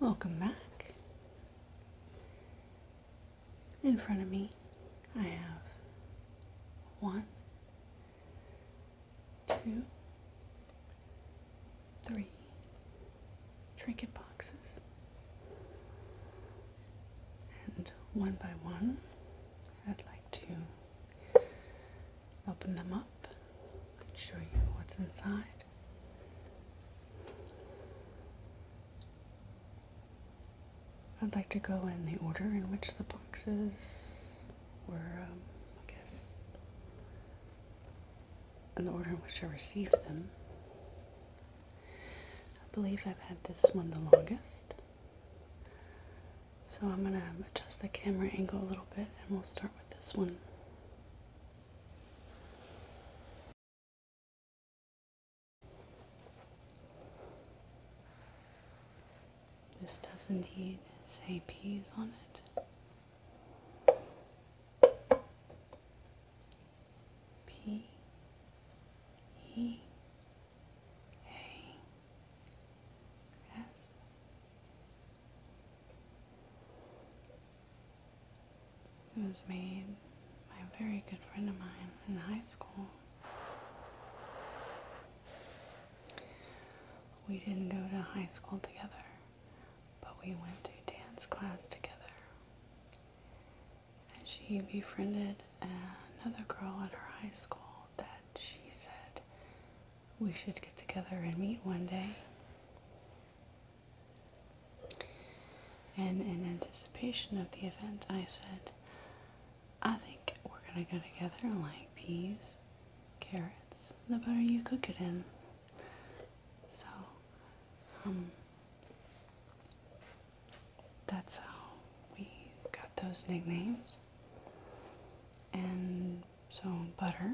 Welcome back. In front of me, I have one, two, three trinket boxes. And one by one, I'd like to open them up and show you what's inside. I'd like to go in the order in which the boxes were, um, I guess, in the order in which I received them. I believe I've had this one the longest. So I'm going to adjust the camera angle a little bit and we'll start with this one. This does indeed say peas on it. P E A S It was made by a very good friend of mine in high school. We didn't go to high school together, but we went to dance class together. And she befriended another girl at her high school that she said we should get together and meet one day. And in anticipation of the event, I said, I think we're gonna go together and like peas, carrots, the butter you cook it in. So, um, that's how we got those nicknames. And so Butter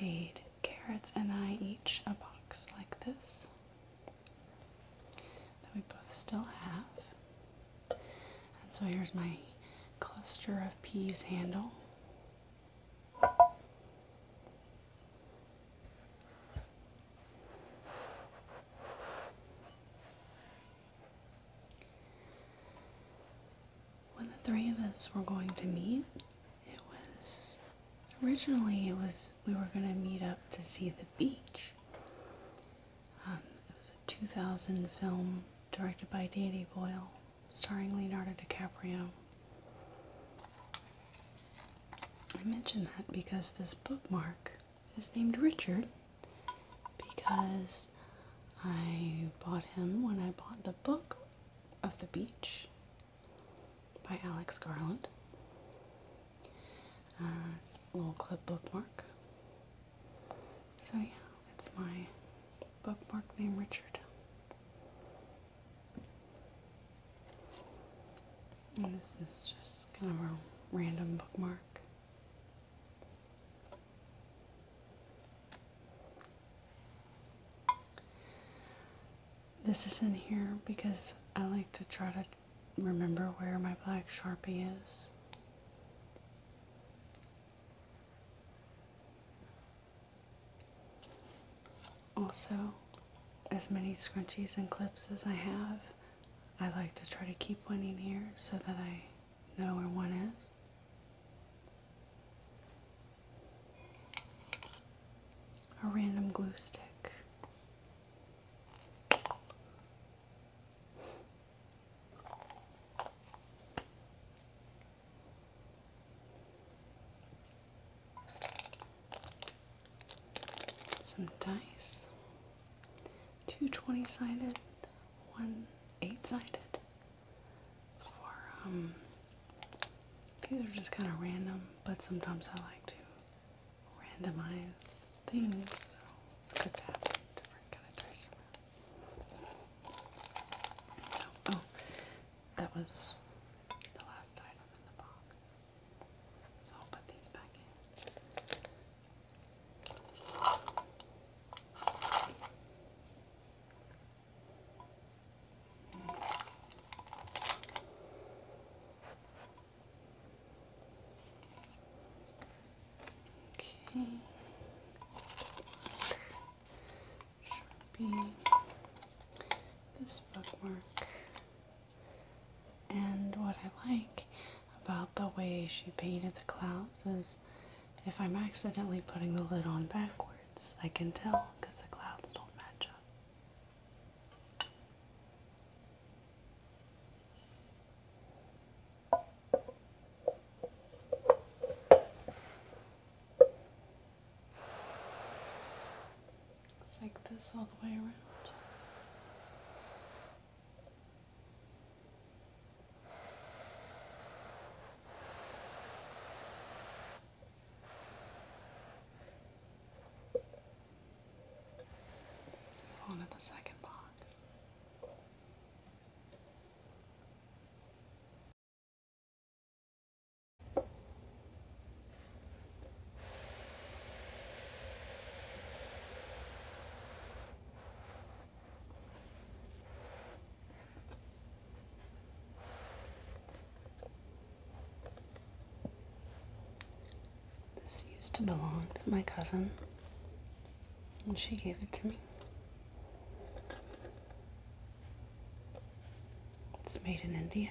made Carrots and I each a box like this that we both still have. And so here's my cluster of peas handle. When the three of us were going to meet, it was originally it was we were going to meet up to see the beach. Um, it was a 2000 film directed by Danny Boyle, starring Leonardo DiCaprio. I mention that because this bookmark is named Richard because I bought him when I bought the book of the beach by Alex Garland. Uh, a little clip bookmark. So yeah, it's my bookmark named Richard this is just kind of a random bookmark. This is in here because I like to try to remember where my black Sharpie is. Also, as many scrunchies and clips as I have, I like to try to keep one in here so that I know where one is. A random glue stick some dice, two sided, one 8 sided. For, um, these are just kind of random, but sometimes I like to randomize things, so it's good to have different kind of dice around. oh, that was the last item in the box. So I'll put these back in. Okay. Should this bookmark. And what I like about the way she painted the clouds is if I'm accidentally putting the lid on backwards, I can tell because the clouds don't match up. Looks like this all the way around. Let's move on to the second box. This used to belong to my cousin, and she gave it to me. It's made in India.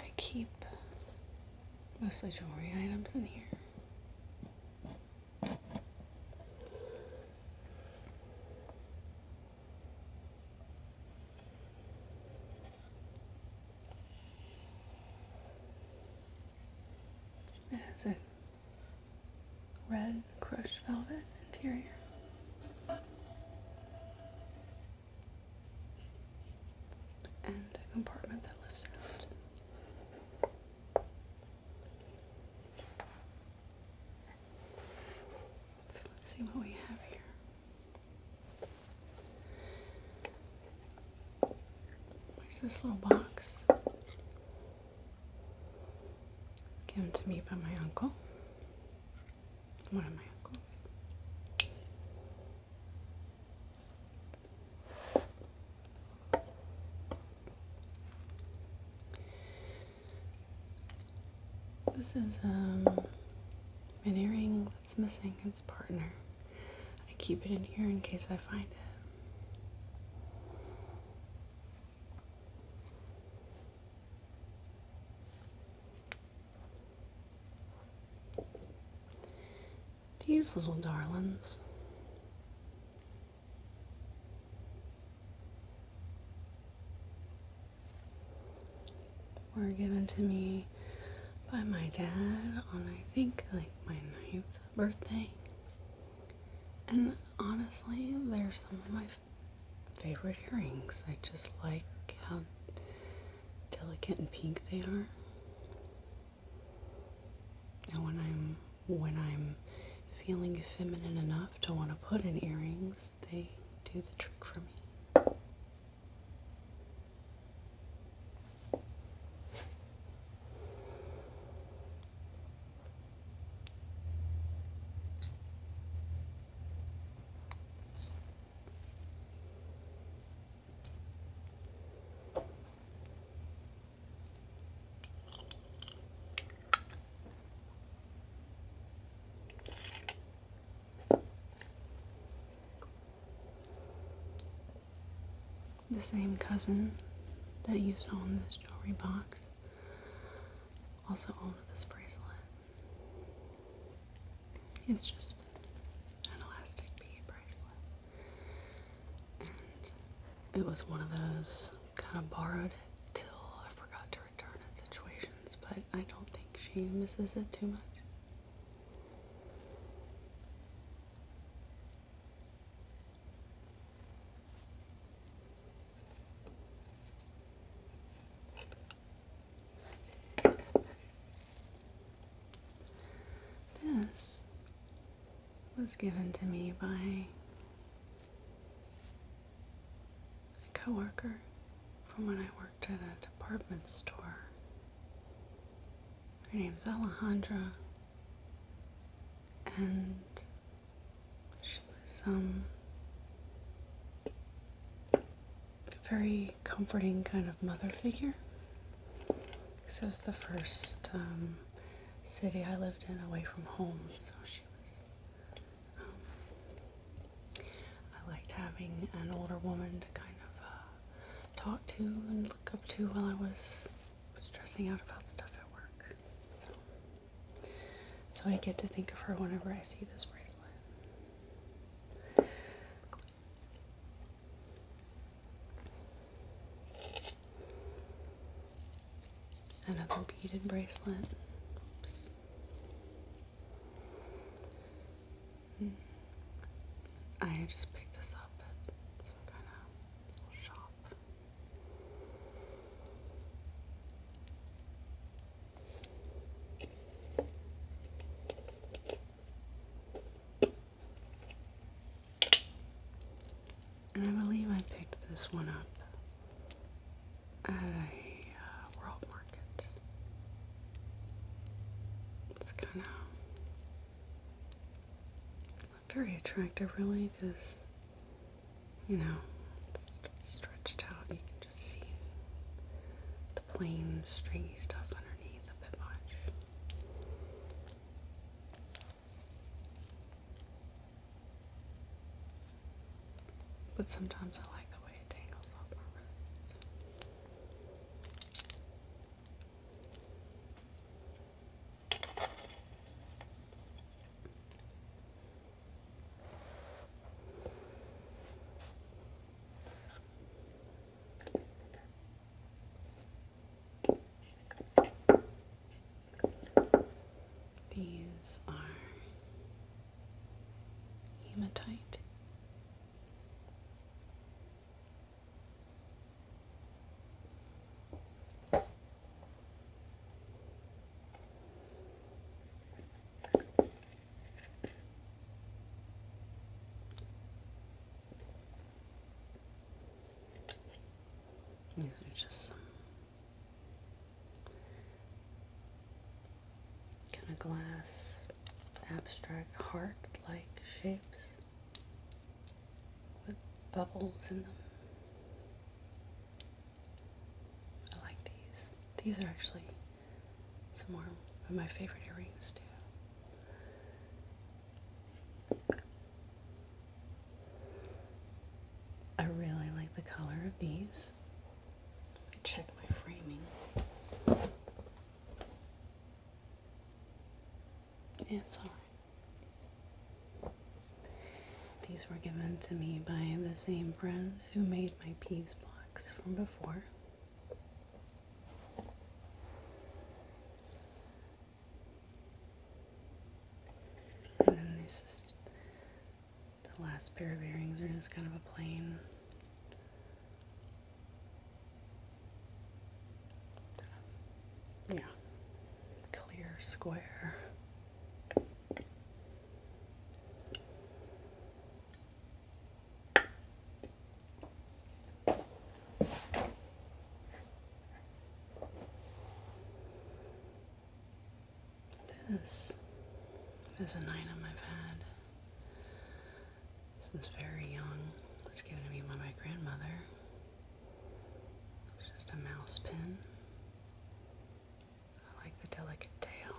I keep mostly jewelry items in here. It red crushed velvet interior. And a compartment that lifts out. So let's see what we have here. There's this little box. Given to me by my uncle, one of my uncles. This is um, an earring that's missing its partner. I keep it in here in case I find it. These little darlings. were given to me by my dad on I think like my ninth birthday. And honestly, they're some of my favorite earrings. I just like how delicate and pink they are. And when I'm when I'm feeling feminine enough to want to put in earrings, they do the trick for me. The same cousin that used to own this jewelry box. Also own this bracelet. It's just an elastic bead bracelet. And it was one of those kind of borrowed it till I forgot to return it situations, but I don't think she misses it too much. This was given to me by a coworker from when I worked at a department store. Her name's Alejandra, and she was um, a very comforting kind of mother figure. This was the first um, city I lived in away from home, so she was. Um, I liked having an older woman to kind of uh, talk to and look up to while I was stressing out about stuff at work. So I get to think of her whenever I see this bracelet. Another beaded bracelet. Oops. Hmm. I just picked this up at some kind of shop. And I believe I picked this one up at a uh, world market. It's kind of very attractive, really, because, you know, stretched out. You can just see the plain, stringy stuff underneath a bit much. But sometimes I like the way it tangles off my wrist. These are hematite. These are just kind of glass, abstract, heart like shapes with bubbles in them. I like these. These are actually some more of my favorite earrings too. I really like the color of these. Let check my framing. Yeah, It's alright. These were given to me by the same friend who made my peavey's box from before. And this is the last pair of earrings are just kind of a plain yeah clear square this is an item I've had since very young. It was given to me by my grandmother just a mouse pin. I like the delicate tail.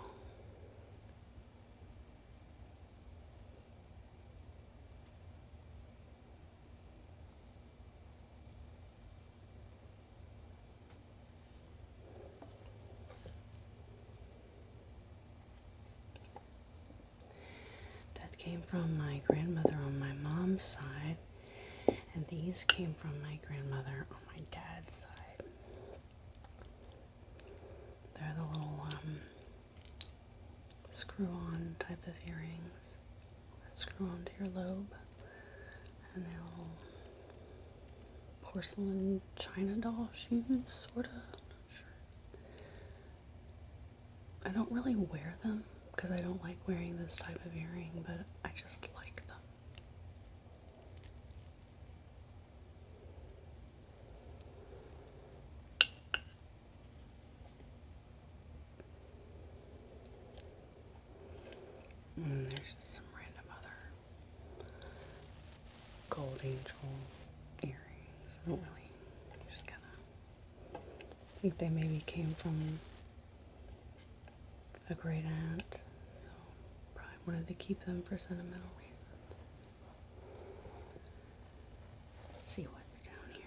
That came from my grandmother on my mom's side. And these came from my grandmother on my dad's side. They're the little um, screw on type of earrings that screw onto your lobe. And they're little porcelain china doll shoes, sort of. I don't really wear them because I don't like wearing this type of earring, but I just like them. Mm, there's just some random other gold angel earrings. I don't really, just kind of think they maybe came from a great aunt, so probably wanted to keep them for sentimental reasons. see what's down here.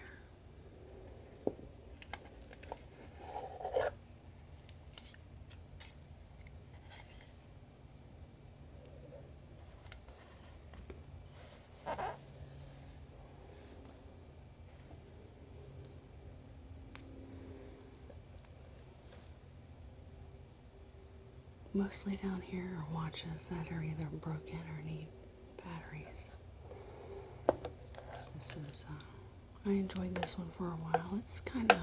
Mostly down here are watches that are either broken or need batteries. This is, uh, I enjoyed this one for a while. It's kind of,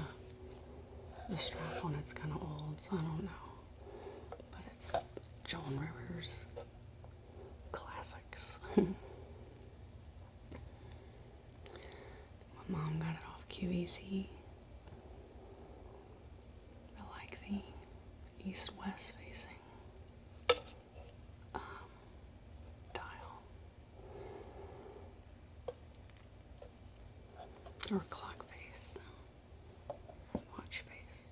the strap on it's kind of old, so I don't know. But it's Joan Rivers classics. My mom got it off QVC. I like the east-west facing um, dial or clock face, watch face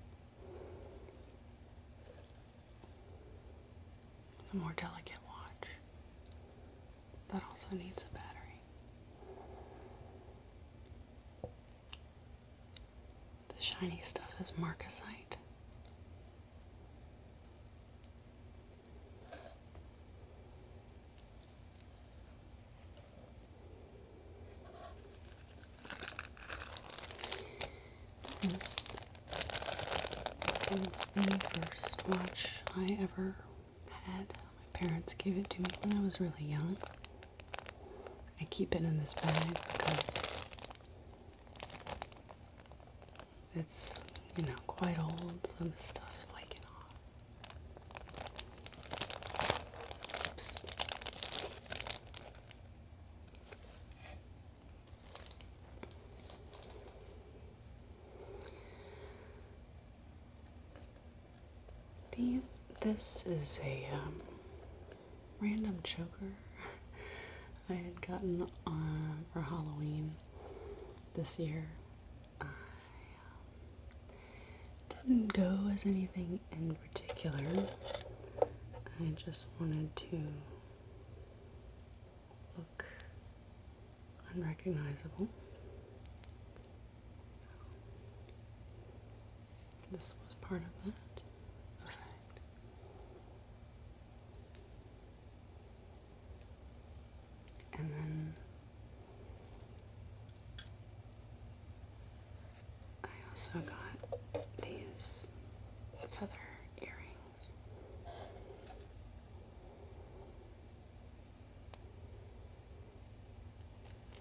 a more delicate watch that also needs a battery. The shiny stuff is marcasite. This is the first watch I ever had. My parents gave it to me when I was really young. I keep it in this bag because it's, you know, quite old, so the stuff's flaking off. Oops. The, this is a um, random choker I had gotten for Halloween this year. Um, didn't go as anything in particular. I just wanted to look unrecognizable. this was part of that effect. And then I also got these feather earrings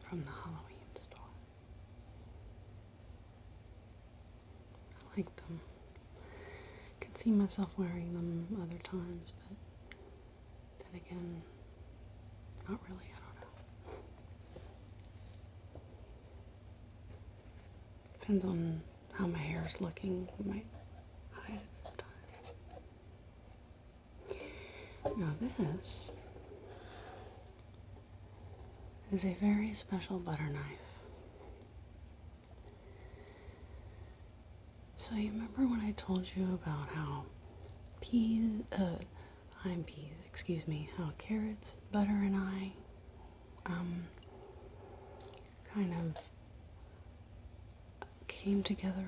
from the Halloween store. I like them. I could see myself wearing them other times, but then again, not really. I don't know. Depends on how my hair is looking. We might hide it sometime. Now this is a very special butter knife. So you remember when I told you about how peas, uh, I'm peas, excuse me, how carrots, butter, and I um, kind of came together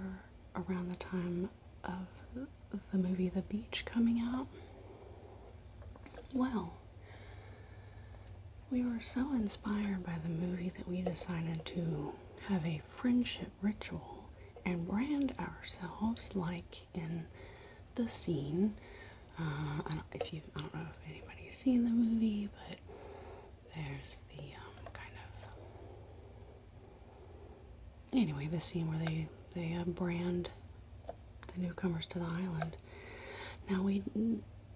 around the time of the movie The Beach coming out. Well, we were so inspired by the movie that we decided to have a friendship ritual and brand ourselves like in the scene uh, if you I don't know if anybody's seen the movie, but there's the um, kind of anyway the scene where they they uh, brand the newcomers to the island. Now we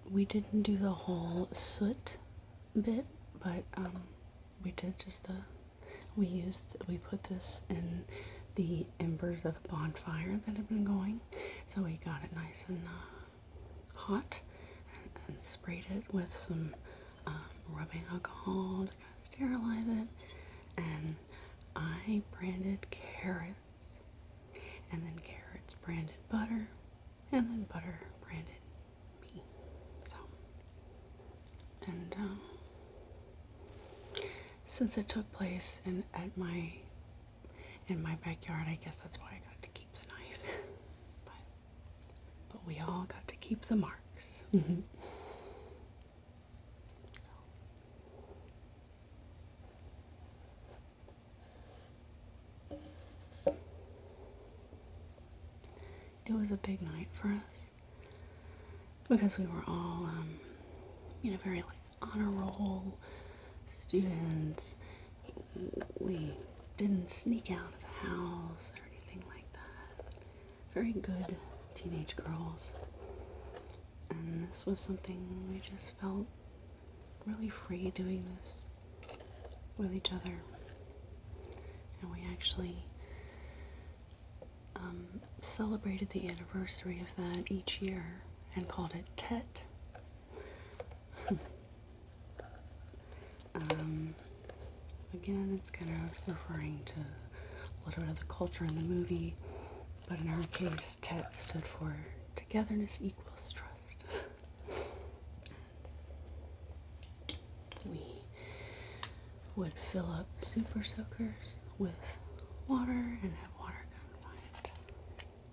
we didn't do the whole soot bit, but um, we did just the we used we put this in the embers of a bonfire that had been going, so we got it nice and. Uh, hot and, sprayed it with some um, rubbing alcohol to kind of sterilize it. And I branded carrots, and then carrots branded butter, and then butter branded me. So, and um, since it took place in at my in my backyard. I guess that's why I got to keep the knife. but, we all got to keep the marks. Mm-hmm. It was a big night for us because we were all, you um, know, very like honor roll students. We didn't sneak out of the house or anything like that. Very good teenage girls. And this was something we just felt really free doing this with each other. And we actually um, celebrated the anniversary of that each year and called it TET, um, again, it's kind of referring to a little bit of the culture in the movie, but in our case, TET stood for Togetherness Equals Trust. we would fill up super soakers with water and have water come by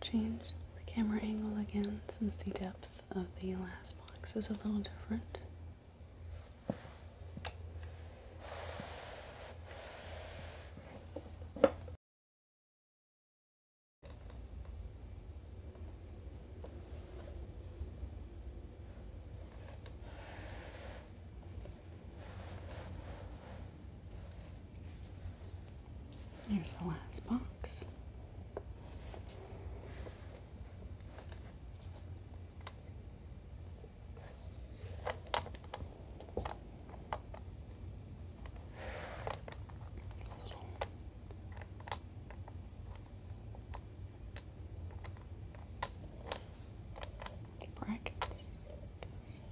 change the camera angle again since the depth of the last box is a little different. There's the last box. little brackets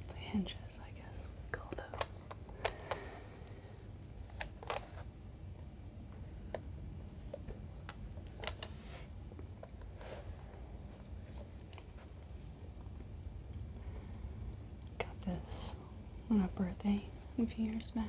the hinges, I guess Got this on a birthday a few years back.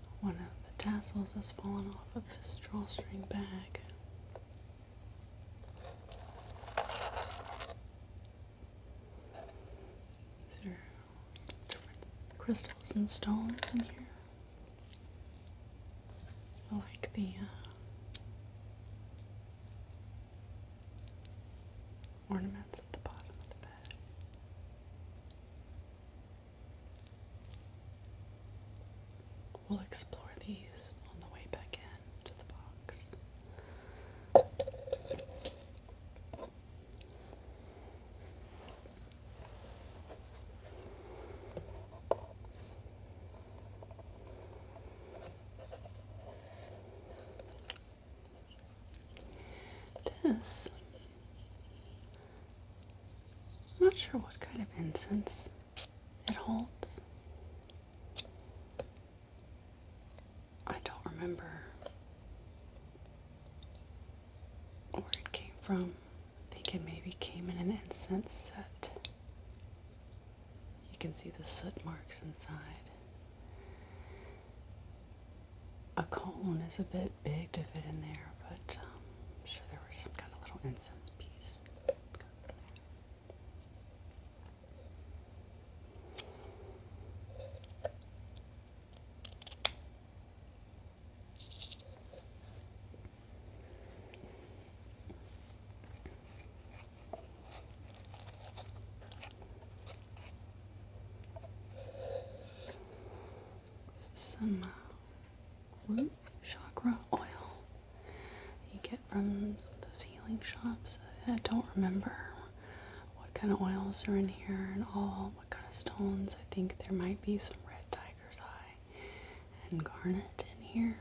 One of the tassels has fallen off of this drawstring bag. These are different crystals and stones in here. I like the uh, ornaments at the bottom of the bed. We'll explore these on the way back in to the box. This I'm not sure what kind of incense it holds. I don't remember where it came from. I think it maybe came in an incense set. You can see the soot marks inside. A cone is a bit big to fit in there, but. Um, I'm sure there was some kind of little incense piece some uh, chakra oil you get from those healing shops. I don't remember what kind of oils are in here and all what kind of stones. I think there might be some red tiger's eye and garnet in here.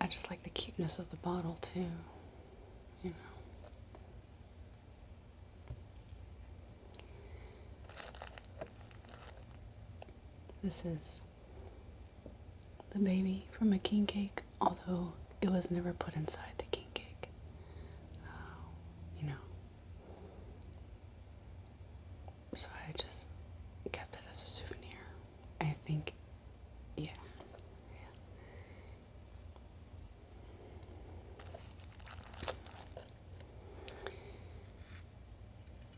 I just like the cuteness of the bottle too, you know. This is the baby from a king cake although it was never put inside the king cake. Uh, you know. So I just kept it as a souvenir. I think, yeah. yeah.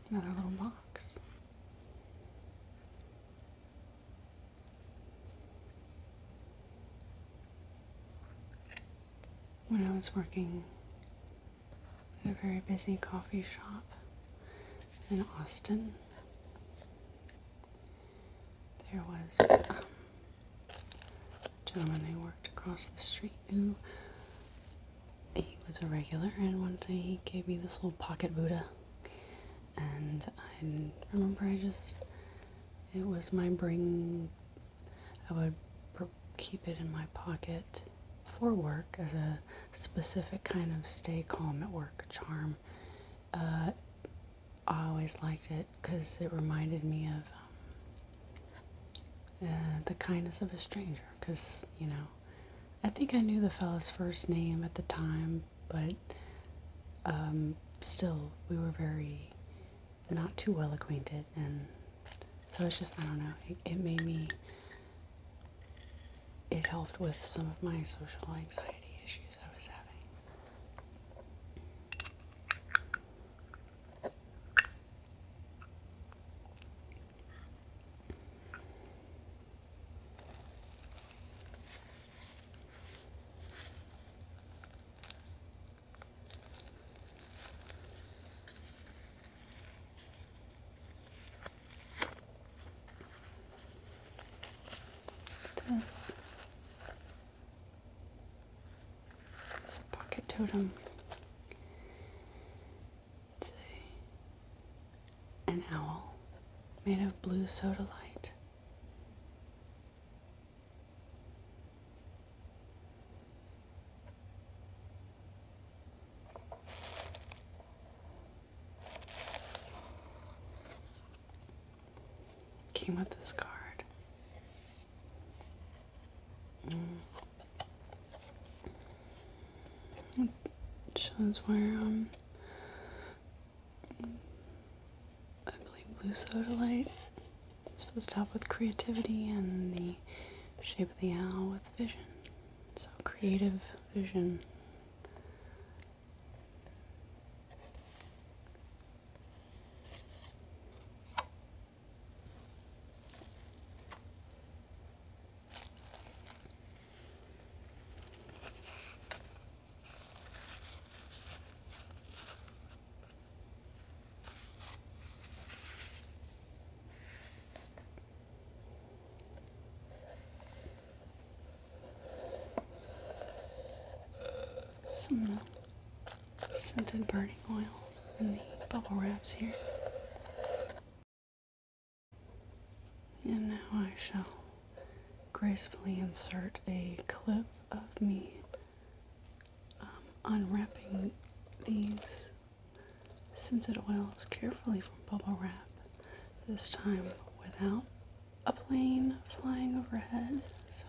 Another little box when I was working in a very busy coffee shop in Austin. There was um, a gentleman I worked across the street who he was a regular, and one day he gave me this little pocket Buddha, and I remember I just it was my bring I would keep it in my pocket for work as a specific kind of stay calm at work charm uh, I always liked it because it reminded me of um, uh, the kindness of a stranger because you know I think I knew the fellow's first name at the time but um, still, we were very not too well acquainted, and so it's just I don't know. it made me. It helped with some of my social anxiety issues I was having. This is a pocket totem. It's a, an owl made of blue sodalite. Came with this card. Mm. shows where um I believe blue soda light. It's supposed to help with creativity and the shape of the owl with vision. So creative vision. Some uh, scented burning oils in the bubble wraps here. And now I shall gracefully insert a clip of me um, unwrapping these scented oils carefully from bubble wrap, this time without a plane flying overhead. So.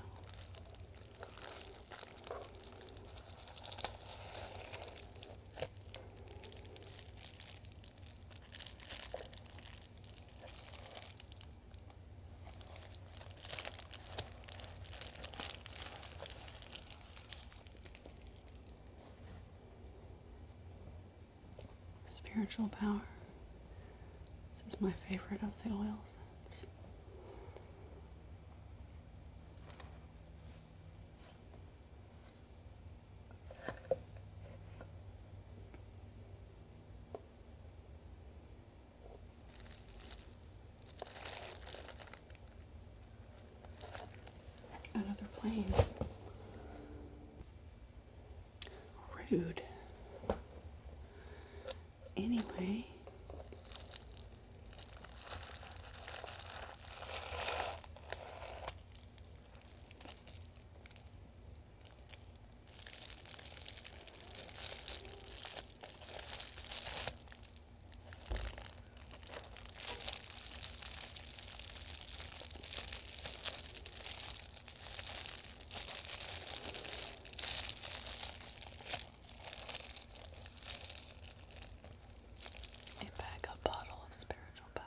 Spiritual power. This is my favorite of the oils. It's Another plane. Rude. Anyway. A backup bottle of spiritual power.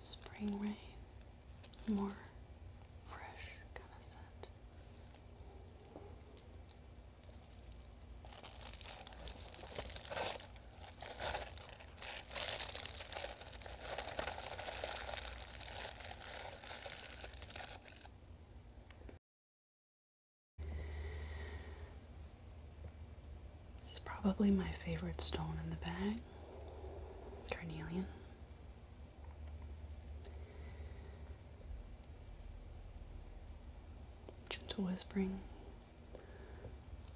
Spring rain, more fresh kind of scent. This is probably my favorite stone in the bag, carnelian. Gentle whispering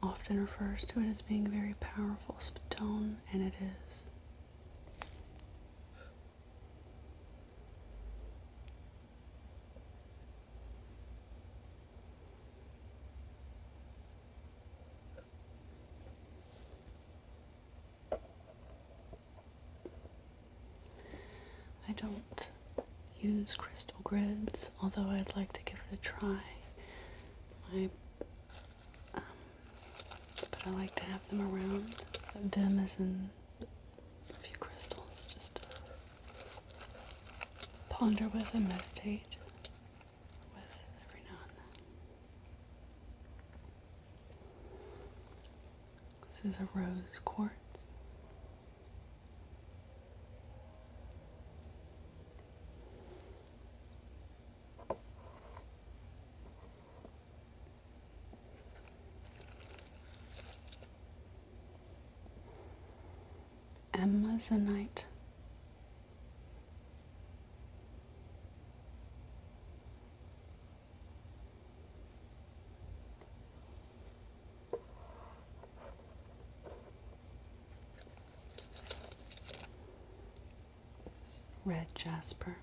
often refers to it as being a very powerful stone, and it is. I don't use crystal grids, although I'd like to give it a try. My um, but I like to have them around. Them as in a few crystals, just to ponder with and meditate with every now and then. This is a rose quartz. Emma's a knight red jasper.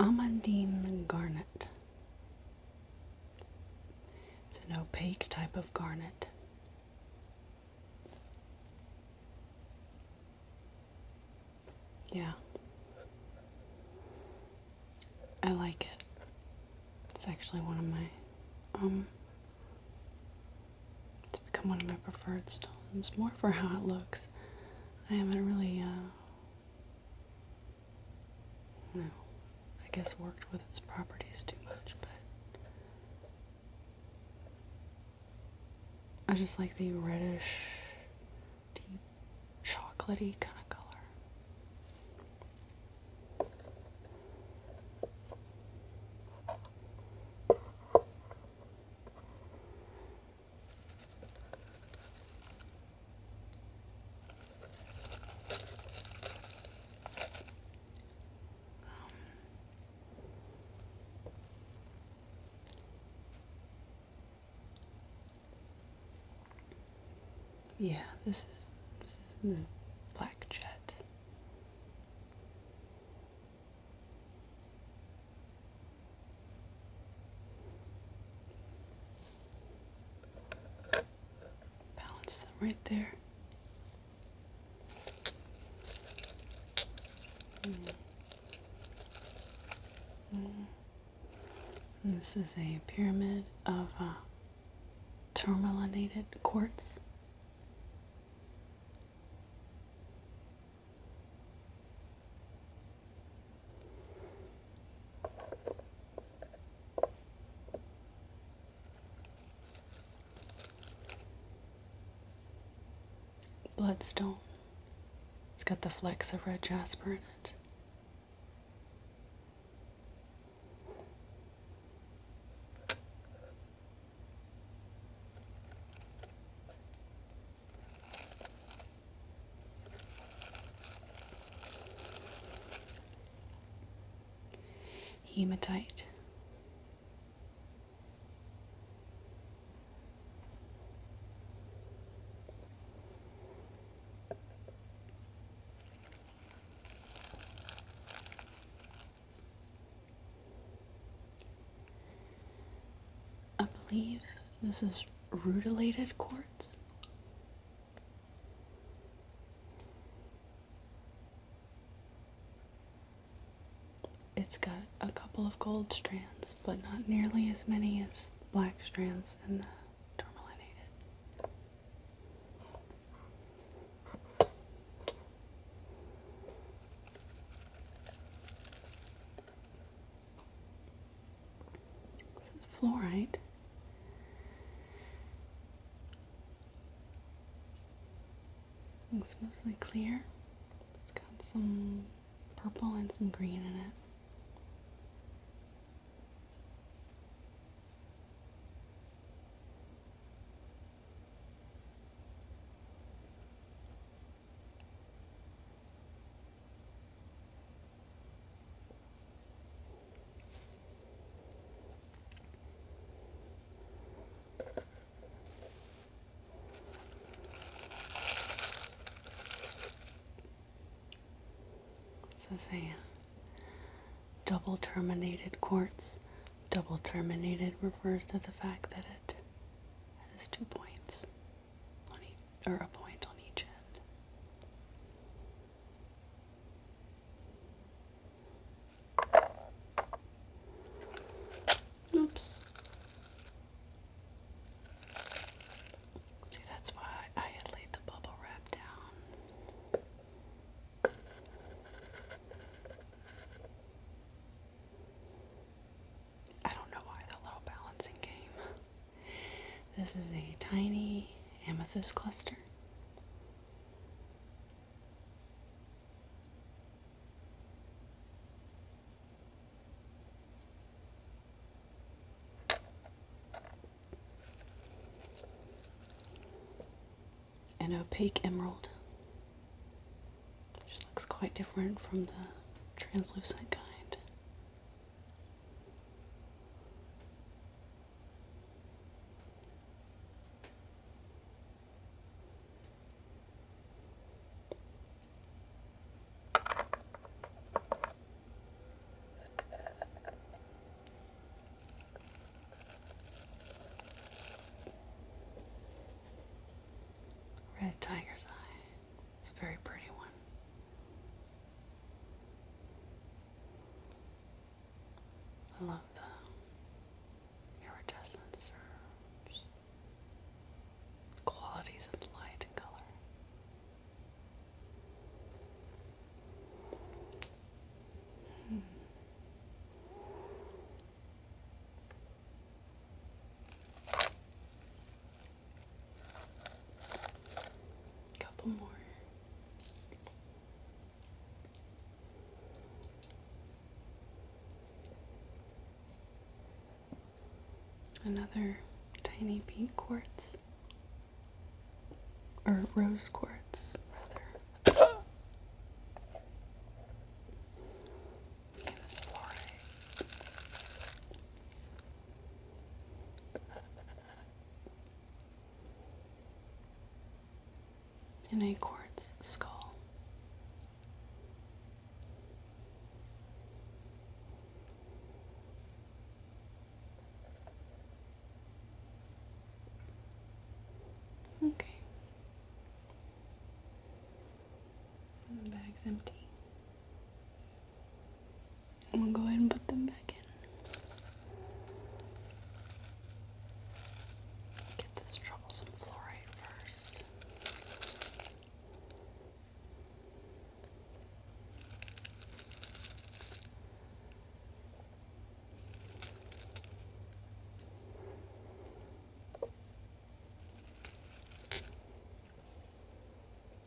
Amandine Garnet it's an opaque type of garnet. Yeah. I like it. It's actually one of my um it's become one of my preferred stones, more for how it looks. I haven't really uh, no, I guess worked with its properties too much, but I just like the reddish, deep, chocolatey kind of color yeah, this is, this is the black jet balance right there. Mm. Mm. This is a pyramid of uh, tourmalinated quartz. Bloodstone. It's got the flecks of red jasper in it hematite. I believe this is rutilated quartz. It's got a couple of gold strands, but not nearly as many as black strands in the tourmalinated. This is fluorite. Looks mostly clear. It's got some purple and some green in it. This is a double terminated quartz. Double terminated refers to the fact that it has two points or a point on each end. Oops. See, that's why I had laid the bubble wrap down. I don't know why that little balancing game. This is a tiny amethyst cluster. An opaque emerald, which looks quite different from the translucent kind. Red tiger's eye. It's a very pretty one. I love the iridescence or just qualities of light and color. Hmm. Couple more. Another tiny pink quartz, or rose quartz, rather. In in a quartz skull. Okay. the bag's empty we'll go ahead and put them back in. Get this troublesome fluoride first. Jet Emerald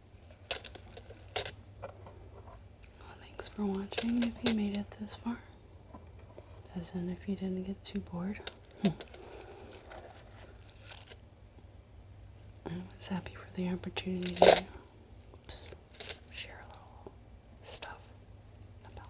thanks for watching if you made it this far. As in, if you didn't get too bored. I was happy for the opportunity to share a little stuff about.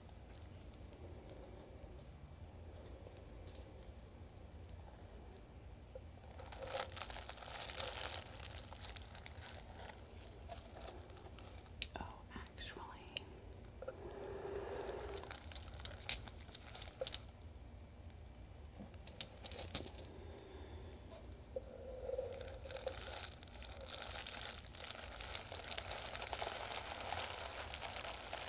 Oh, actually.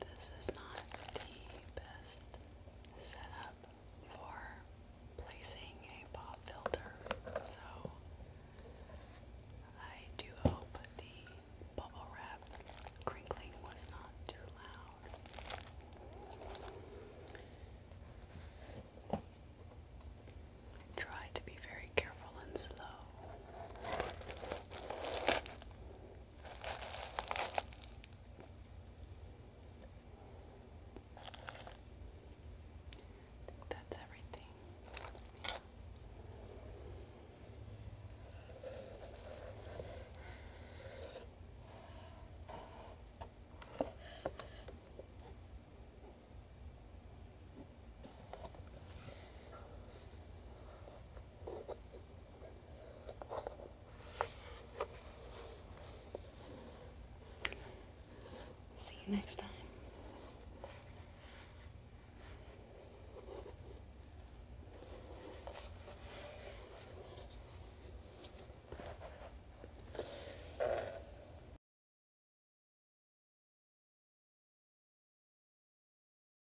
This is not the best setup for placing a pop filter, so I do hope the bubble wrap crinkling was not too loud. Try to be very careful and slow think that's everything. See you next time.